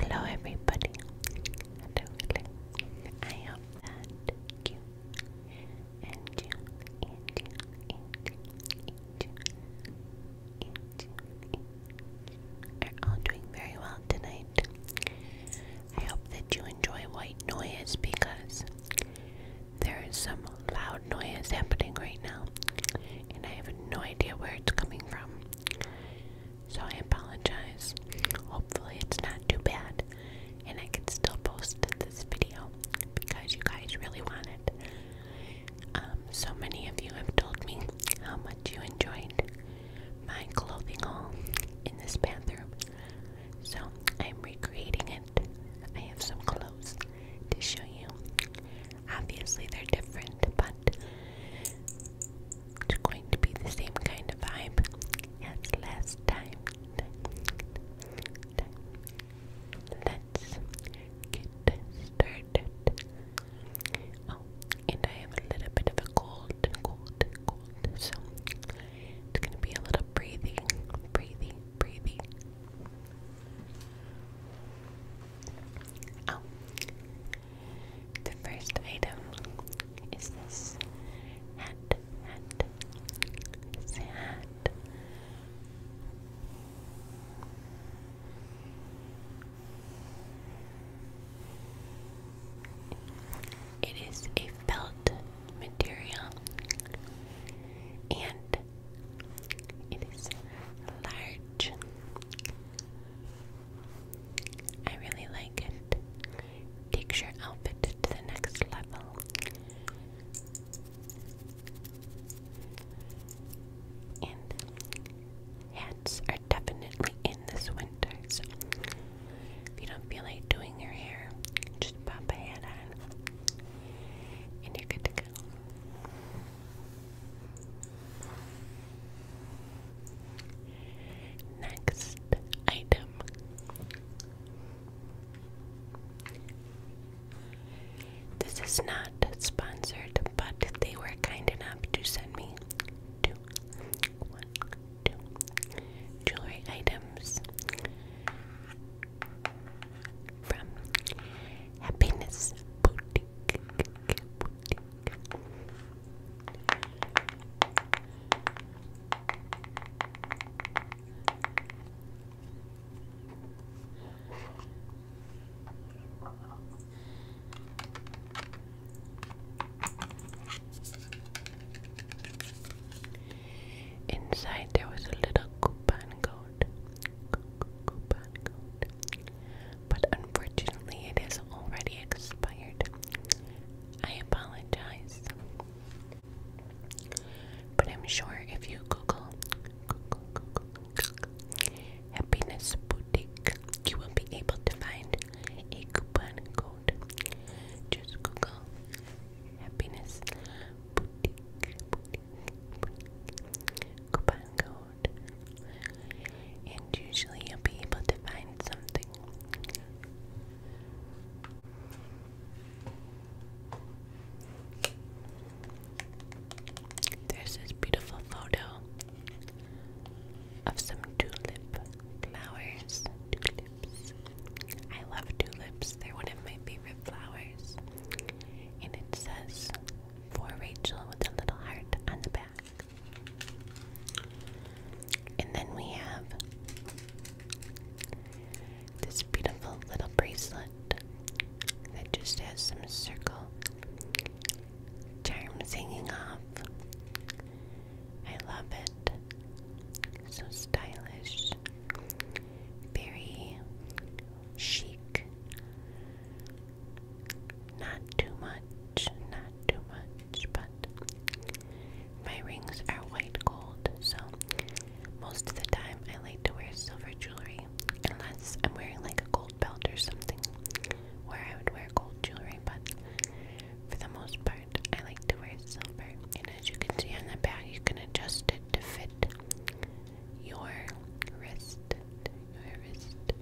Hello everybody. Hello, I hope that you and you and you and you and you and you are all doing very well tonight. I hope that you enjoy white noise because there is some loud noise happening right now and I have no idea where it's coming from. So I apologize. Hopefully, it's not too bad, and I can still post this video because you guys really wanted. Um, so many of you have told me how much you enjoyed my clothing haul in this bathroom. So I'm recreating it. I have some clothes to show you. Obviously, they're different, but it's going to be the same kind of vibe as last time. time, Let's get started. Oh, and I have a little bit of a cold, cold, cold, so it's gonna be a little breathing, breathing, breathing. Oh, the first item is this hat, hat, hat. It is a felt material and it is large I really like it. Takes your outfit to the next level. And hats are definitely in this winter, so if you don't feel like doing your hair, just pop a hat on and you're good to go. Next item. This is not sponsored, but they were kind enough to send me two, one, two jewelry items from Happiness Boutique. Inside there was a little coupon goat. But unfortunately, it has already expired. I apologize. But I'm sure if you Google, Happiness Boutique, you will be able to find a coupon code. Just Google Happiness Boutique, boutique. coupon code. And usually you'll be able to find something. There's this beautiful photo of some tulip flowers. Tulips. I love tulips, they're one of my favorite flowers. And it says, For Rachel with a little heart on the back. And then we have this beautiful little bracelet that just has some circle charms hanging off. I love it. So stylish. Very chic. Not too much, not too much, but my rings are white gold, so most of the time I like to wear silver jewelry unless I'm wearing like a gold belt or something where I would wear gold jewelry, but for the most part I like to wear silver. And as you can see on the back, you can adjust it to fit your wrist, your wrist,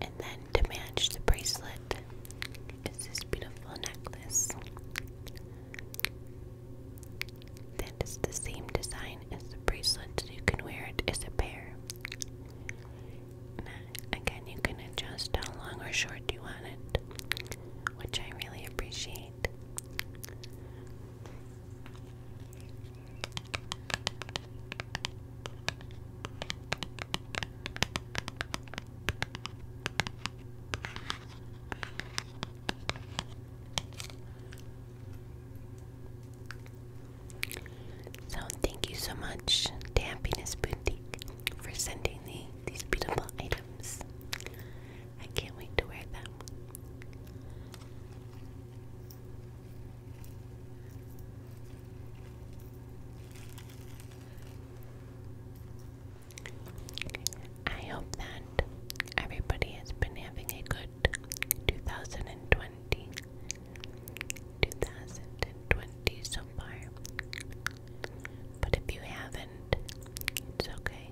And then to match the bracelet is this beautiful necklace that is the same design as the bracelet, so you can wear it as a pair. again, you can adjust how long or short you want it which I really appreciate. So, thank you so much to Boutique for sending the these beautiful items. I can't wait to wear them. I hope that everybody has been having a good 2020. so far. But if you haven't, emotions, okay?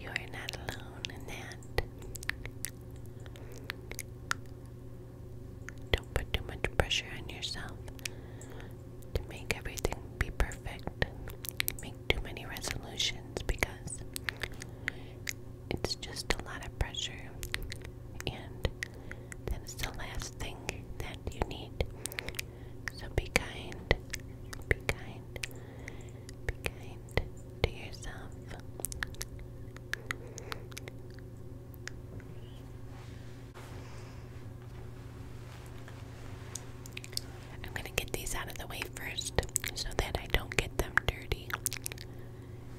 You are not alone in that. Don't put too much pressure on yourself to make everything be perfect. Make too many resolutions because it's just a lot of pressure, and that is the last thing that you need. So be kind, be kind, be kind to yourself. I'm going to get these out of the way first so that I don't get them dirty.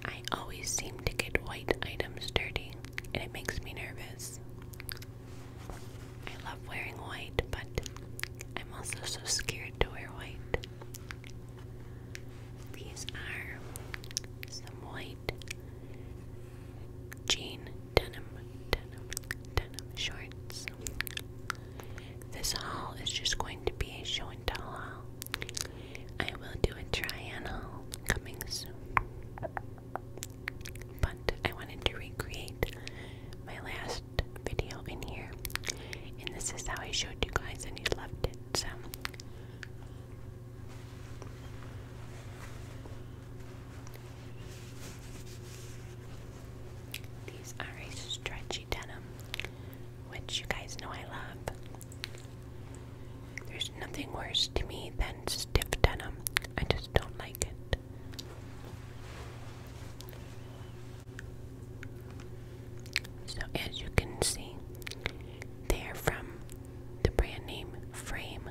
I always seem to get white items dirty, and it makes me nervous. I love wearing white, but I'm also so scared to wear white. These are some white jean denim, denim, denim shorts. This haul is just going to be a show haul. I will do a try haul coming soon but I wanted to recreate my last video in here, and this is how I showed you guys, and you loved it. So, these are a stretchy denim, which you guys know I love. There's nothing worse to me than stiff denim. I just don't like it. So, as you can see, they're from the brand name Frame,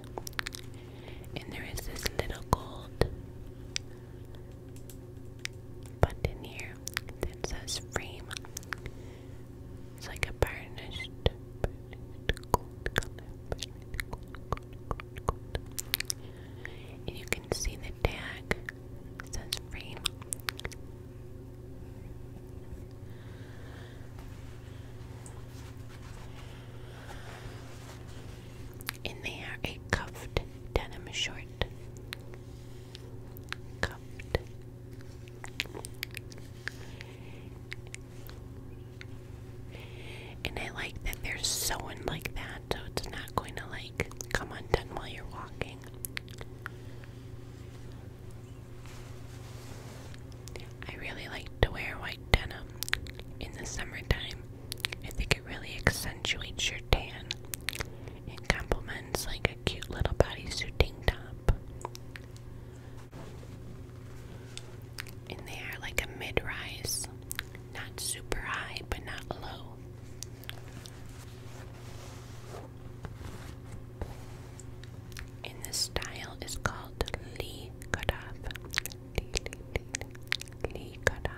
and there is this little gold button here that says Frame. It's like a burnished, gold color. And you can see the tag says free. And they are a cuffed denim short. Cuffed. And I like that they're sewing like that, so it's not going to like come undone while you're walking. I really like to wear white denim in the summertime. I think it really accentuates your tan and complements like a cute little bodysuiting top. And they are like a mid rise. Not super high, but not low. And this style is called Lee Cutoff. Lee, Lee, Lee, Lee Cutoff.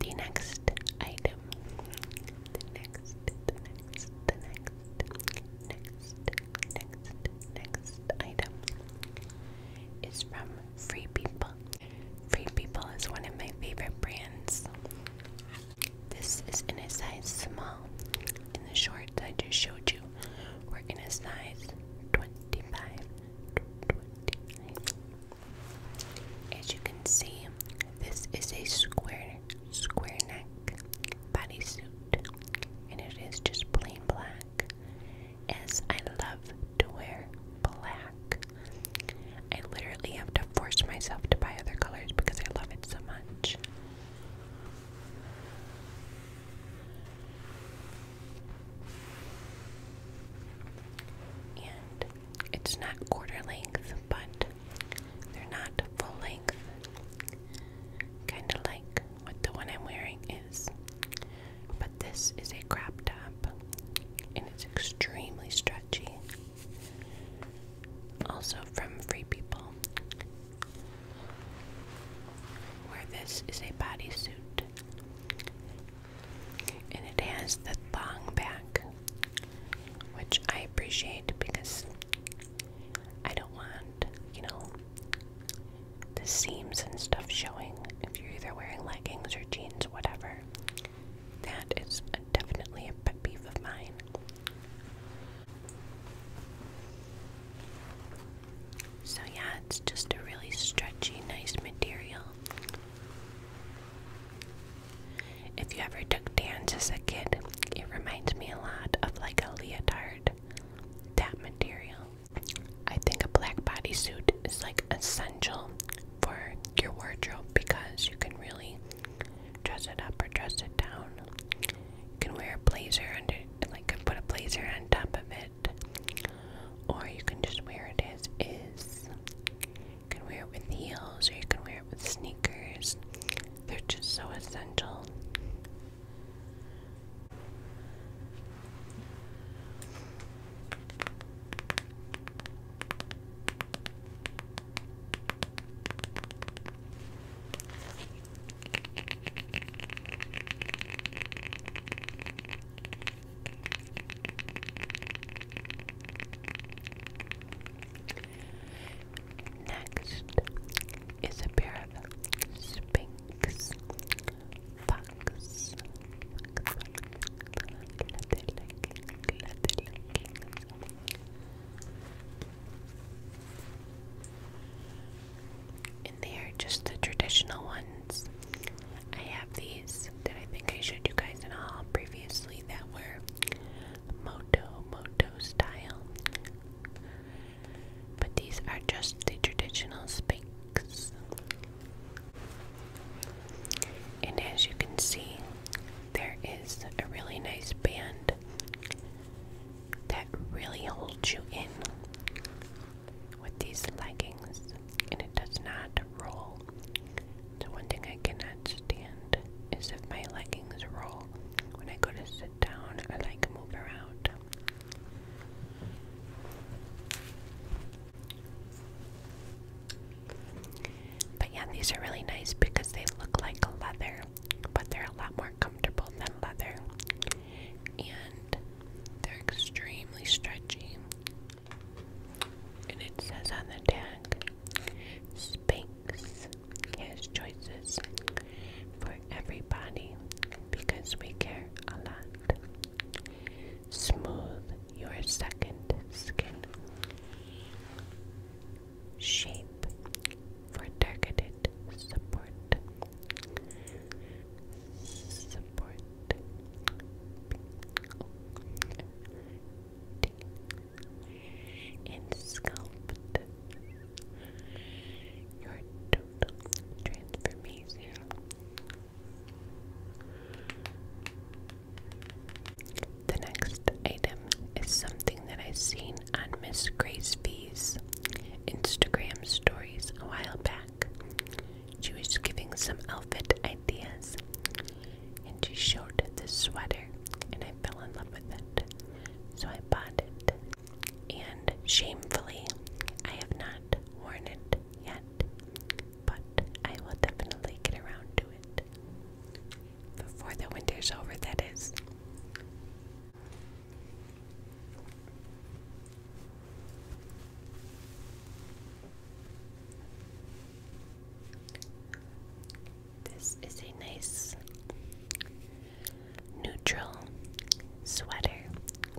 The next item. The next, the next, the next, next, next, next item is from Free People. Free People is one of my favorite brands. This is in a size small. In the shorts I just showed you, we're in a size 25. As you can see, this is a square, square neck bodysuit, and it is just plain black. As I love to wear black. I literally have to force myself to buy other colors because I love it so much. And it's not quarter length, but they're not full length. Kind of like what the one I'm wearing is. But this is a crop top and it's extremely stretchy. Also from Free People, where this is a bodysuit and it has the thong back, which I appreciate because I don't want, you know, the seams and stuff showing if you're either wearing leggings or jeans, whatever. That is definitely a pet peeve of mine. So, yeah, it's just a really stretchy, nice material. If you ever took dance as a kid, it reminds me a lot of like a leotard. That material. I think a black bodysuit is like essential for your wardrobe because you can really dress it up or dress it down. You can wear a blazer under, like, put a blazer on top of it, or you can just wear it as is. You can wear it with heels, or you can wear it with sneakers. They're just so essential. Next is a pair of Sphinx, Fox, and they are just the traditional ones. I have these that I think I showed you guys in all previously that were moto moto style. But these are just the traditional spinks. And as you can see, there is a really nice band that really holds you in with these leggings, and it does not roll. The one thing I cannot stand is if my leggings roll when I go to sit down I like move around. But yeah, these are really nice because they look like leather, but they're a lot more comfortable than leather. And they're extremely stretchy. And it says on the tag Spanx has choices for everybody because we care a lot. Smooth your second skin. Shape for targeted support. Support. And sculpt your total transformation. The next item is something that i seen on Miss Grace V's Instagram stories a while back. She was giving some outfit ideas and she showed this sweater and I fell in love with it. So I bought it. And shamefully, I have not worn it yet, but I will definitely get around to it before the winter's over, that is. This is a nice neutral sweater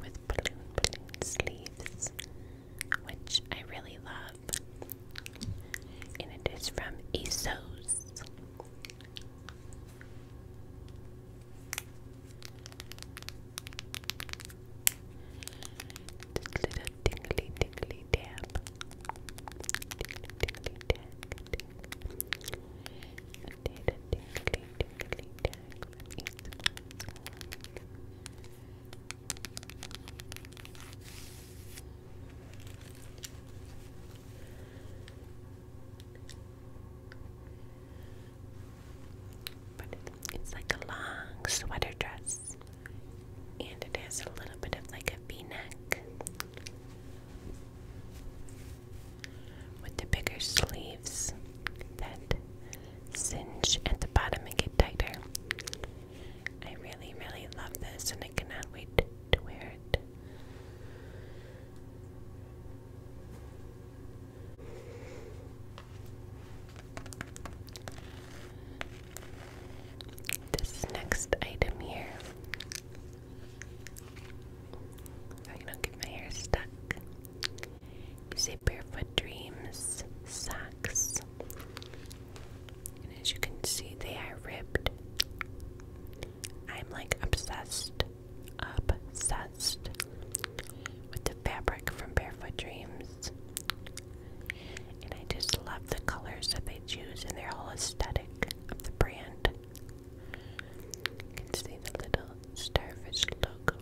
with balloon sleeves which I really love. And it is from ASOS. This little tingly, tingly dab. Tingly, tingly dab. Tingly, tingly, tingly dab it's like a long sweater dress, and it has a little bit of like a v neck with the bigger sleeves that cinch at the bottom and get tighter. I really, really love this and I cannot wait to wear it. This next item here. I don't get my hair stuck. These are Barefoot Dreams socks. And as you can see, they are ribbed. I'm like obsessed, obsessed with the fabric from Barefoot Dreams. And I just love the colors that they choose and their whole aesthetic of the brand. You can see the little starfish logo.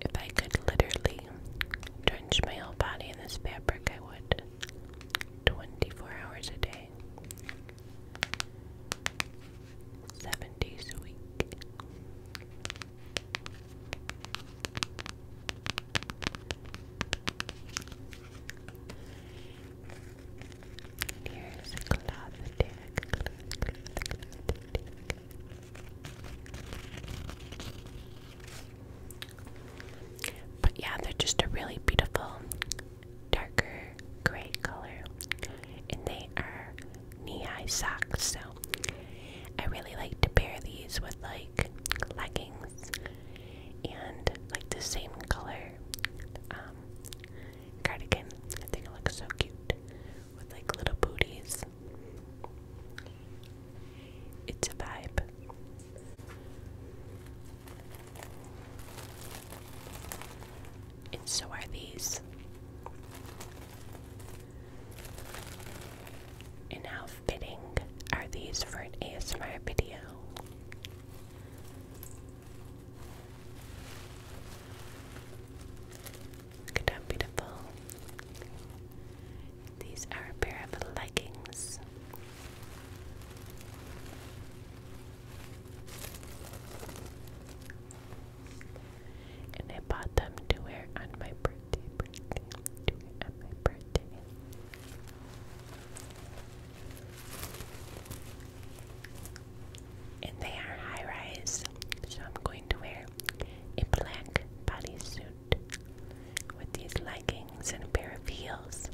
If I could literally drench my whole body in this fabric, I would. 24 hours a day, 7 days a week. Here's a cloth tag. Cloth, cloth, cloth tag. But yeah, they're just a really beautiful darker gray color. And they are knee-high socks, so I really like to pair these with like leggings and like the same color um, cardigan. I think it looks so cute with like little booties. It's a vibe. And so are these. And how fitting are these for an ASMR video? how beautiful. These are a pair of leggings. And I bought them to wear on my birthday, birthday, to wear on my birthday. And they are high rise, so I'm going to wear a black bodysuit with these leggings and a pair of heels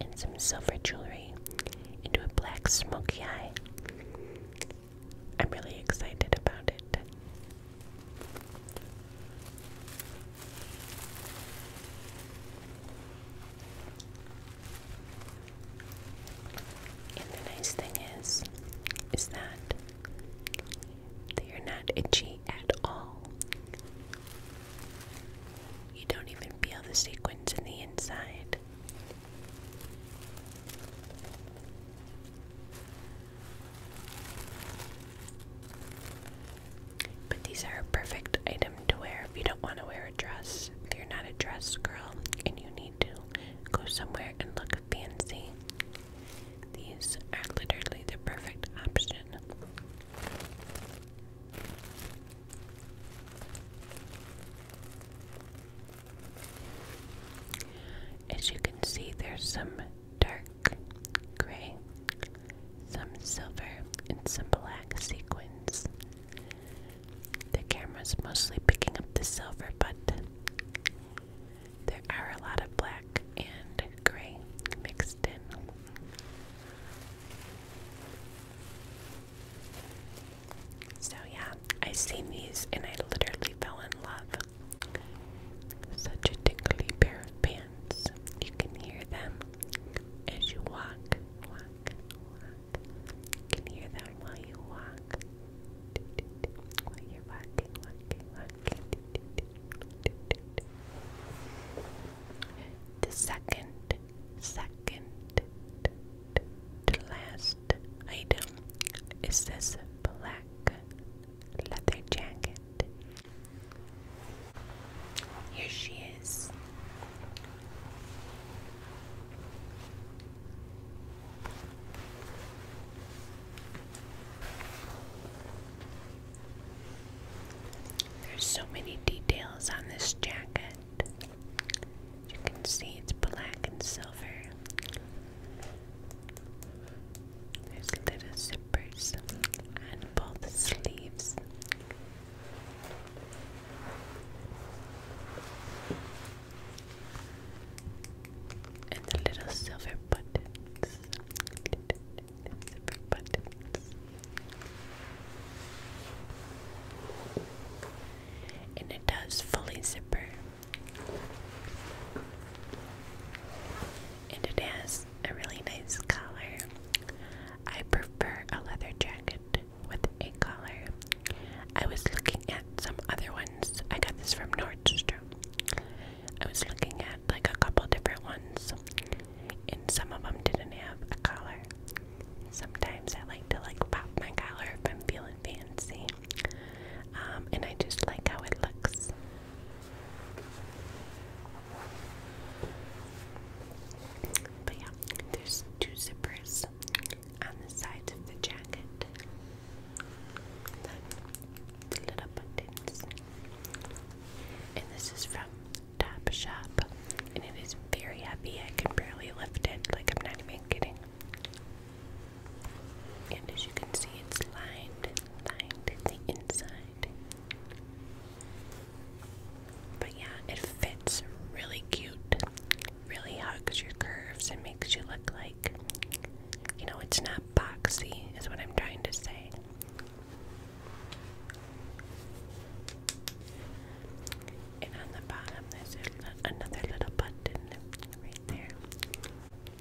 and some silver jewelry into a black smoky eye. I'm really excited about it. And the nice thing is, is that they're not itchy at all. You don't even feel the sequins in the inside. But these are a perfect item to wear if you don't want to wear a dress. If you're not a dress girl and you need to go somewhere and look fancy, these are literally the perfect option. As you can see, there's some dark gray, some silver, and some black sequins. The camera's mostly picking up the silver, but there are a lot of black and gray mixed in. So, yeah, I seen these and I literally fell in love. Such a tingly pair of pants. You can hear them as you walk, You can hear them while you walk. While you're the second, second, the last item is this black leather jacket. Here she is. There's so many details on this jacket. You can see it's black and silver. There's little zippers on both sleeves. And the little silver buttons and zipper buttons. And it does fully zipper. And it has a really nice collar. I prefer a leather jacket with a collar. I was looking at some other ones. I got this from Nordstrom. I was looking at like a couple different ones, and some of them didn't have a collar. Sometimes I like to like pop my collar if I'm feeling fancy, um, and I just like how it looks. But yeah, there's two zippers on the sides of the jacket. The little buttons. And this is from Top Shop. And it is very heavy. I can barely lift it. Like, I'm not even kidding. And as you can see, it's lined, lined the inside. But yeah, it fits really cute. Really hugs your curves and makes you look like, you know, it's not boxy, is what I'm trying to say. And on the bottom, there's another little button right there.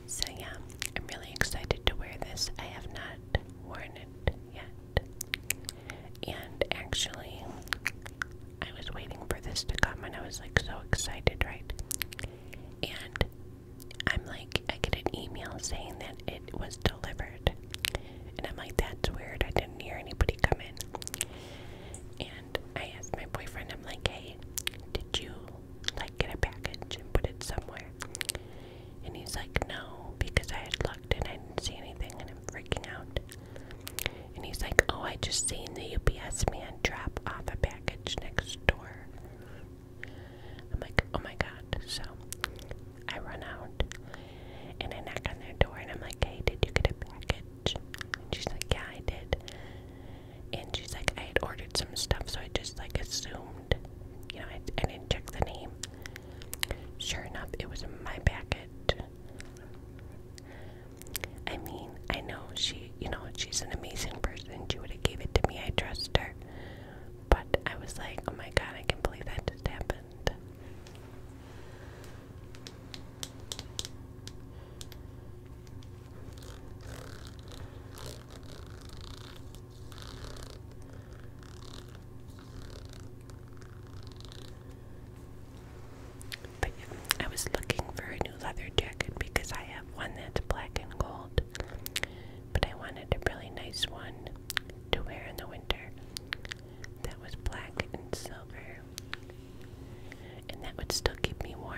So, yeah, I'm really excited to wear this. I have not worn it yet. And actually, I was waiting for this to come and I was like so excited, right? And I'm like, I get an email saying that it was delivered. And I'm like, that's weird. I didn't hear anybody come in. And I asked my boyfriend, I'm like, hey, did you like get a package and put it somewhere? And he's like, no, because I had looked and I didn't see anything and I'm freaking out. And he's like, oh, I just seen the UPS man drop off a package next door. I'm like, oh my god. So I run out and I knock on their door and I'm like, hey, did you get a package? And she's like, yeah, I did. And she's like, I had ordered some stuff, so I just like assumed, you know, I, didn't check the name. Sure enough, it was my package. I mean, I know she, you know, she's an amazing person. She would have gave it to me. I trust her. But I was like, oh my god, I can't believe that just happened. But I was looking for a new leather jacket because I have one that's black and gold but I wanted a really nice one to wear in the winter that was black and silver, and that would still keep me warm.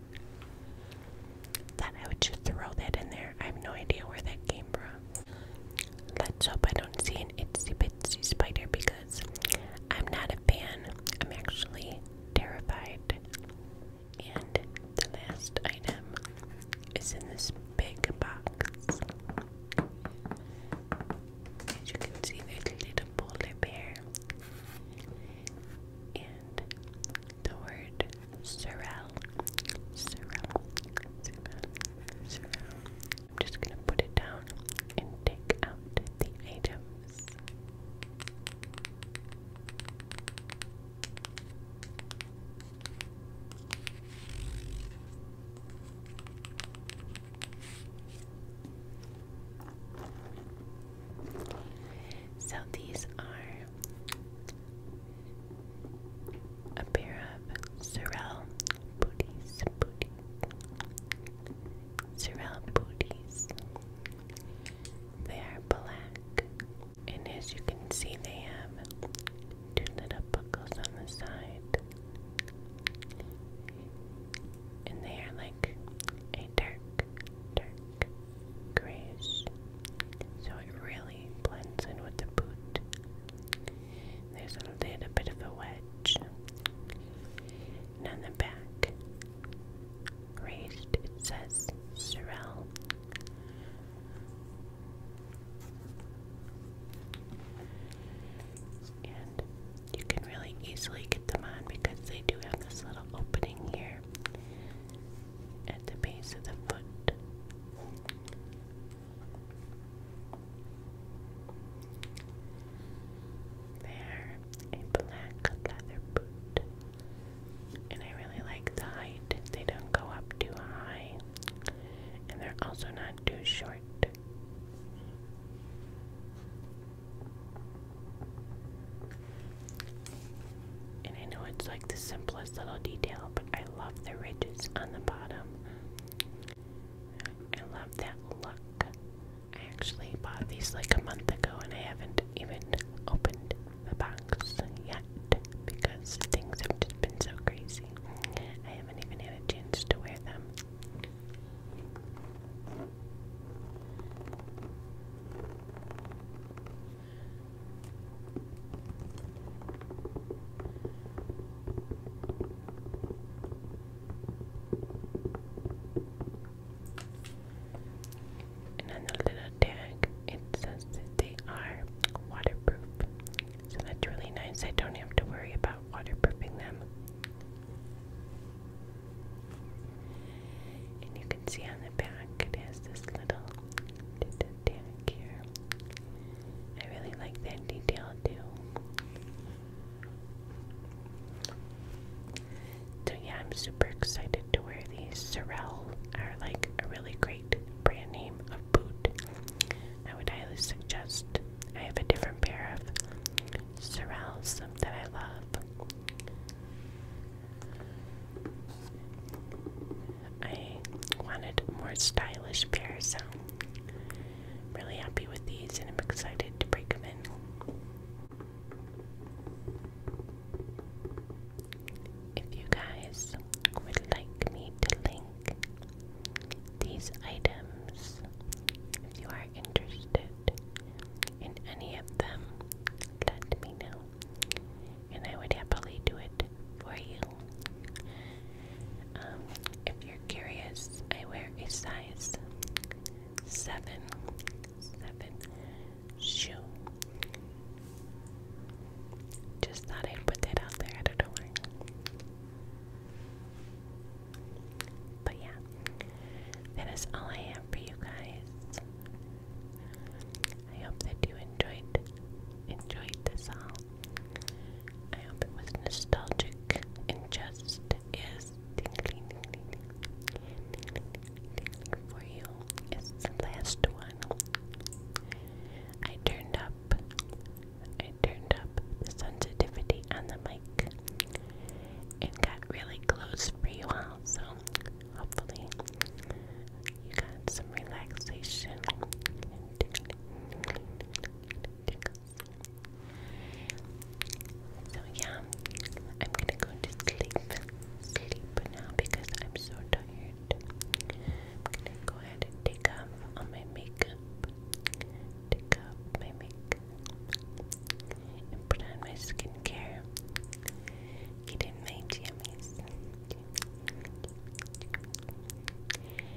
Thought I would just throw that in there. I have no idea where that came from. Let's hope I don't see an itsy bitsy spider because I'm not a fan. I'm actually terrified. And the last item is in this big box. As you can see, there's a little polar bear and the word "surreal." sorrel, sorrel. I'm just gonna put it down and take out the items. So these are a pair of Sorrel booties, booties, Sorrel booties. They are black, and as you can see, they have two little buckles on the side, and they are like a dark, dark grays, so it really blends in with the boot. There's a little bit of a wedge. And on the back, raised, it says Sorel. And you can really easily get them on because they do have this little opening here at the base of the foot. There, a black leather boot. And I really like the height. They don't go up too high. And they're also not too short. And I know it's like the simplest little detail, but I love the ridges on the bottom. I love that look. I actually bought these like a month ago and I haven't even opened the box yet because things have just been so crazy. I haven't even had a chance to wear them. And on the little tag, it says that they are waterproof. So that's really nice. I don't have to worry about waterproofing them. And you can see on the back it has this little tag here. I really like that detail too. So yeah, I'm super excited to wear these. Sorel are like a really great brand name of boot. I would highly suggest. I have a different pair of Sorels that I love. I wanted more stylish pairs, so I'm really happy with these and I'm excited to break them in. If you guys would like me to link these items, if you are interested, found in any of them, let me know, and I would happily do it for you. Um, if you're curious, I wear a size seven, seven shoe. Just thought I'd put that out there. I don't know why. But yeah, that is all I have for you guys. I hope that you enjoyed enjoyed this all. I hope it was nostalgic and just is tingling, tingling, for you. It's the last one. I turned up I turned up the sensitivity on the mic and got really close for you all, so Hopefully, you got some relaxation So, yeah, I'm gonna go to sleep, sleep now because I'm so tired. I'm gonna go ahead and take off all my makeup, take off my makeup, and put on my skincare. He didn't mind yummies.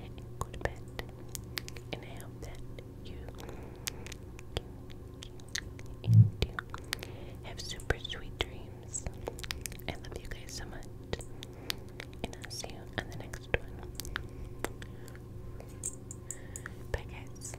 And go to bed. And I hope that you, you, have super sweet dreams. And I love you guys so much. And I'll see you on the next one. Bye guys.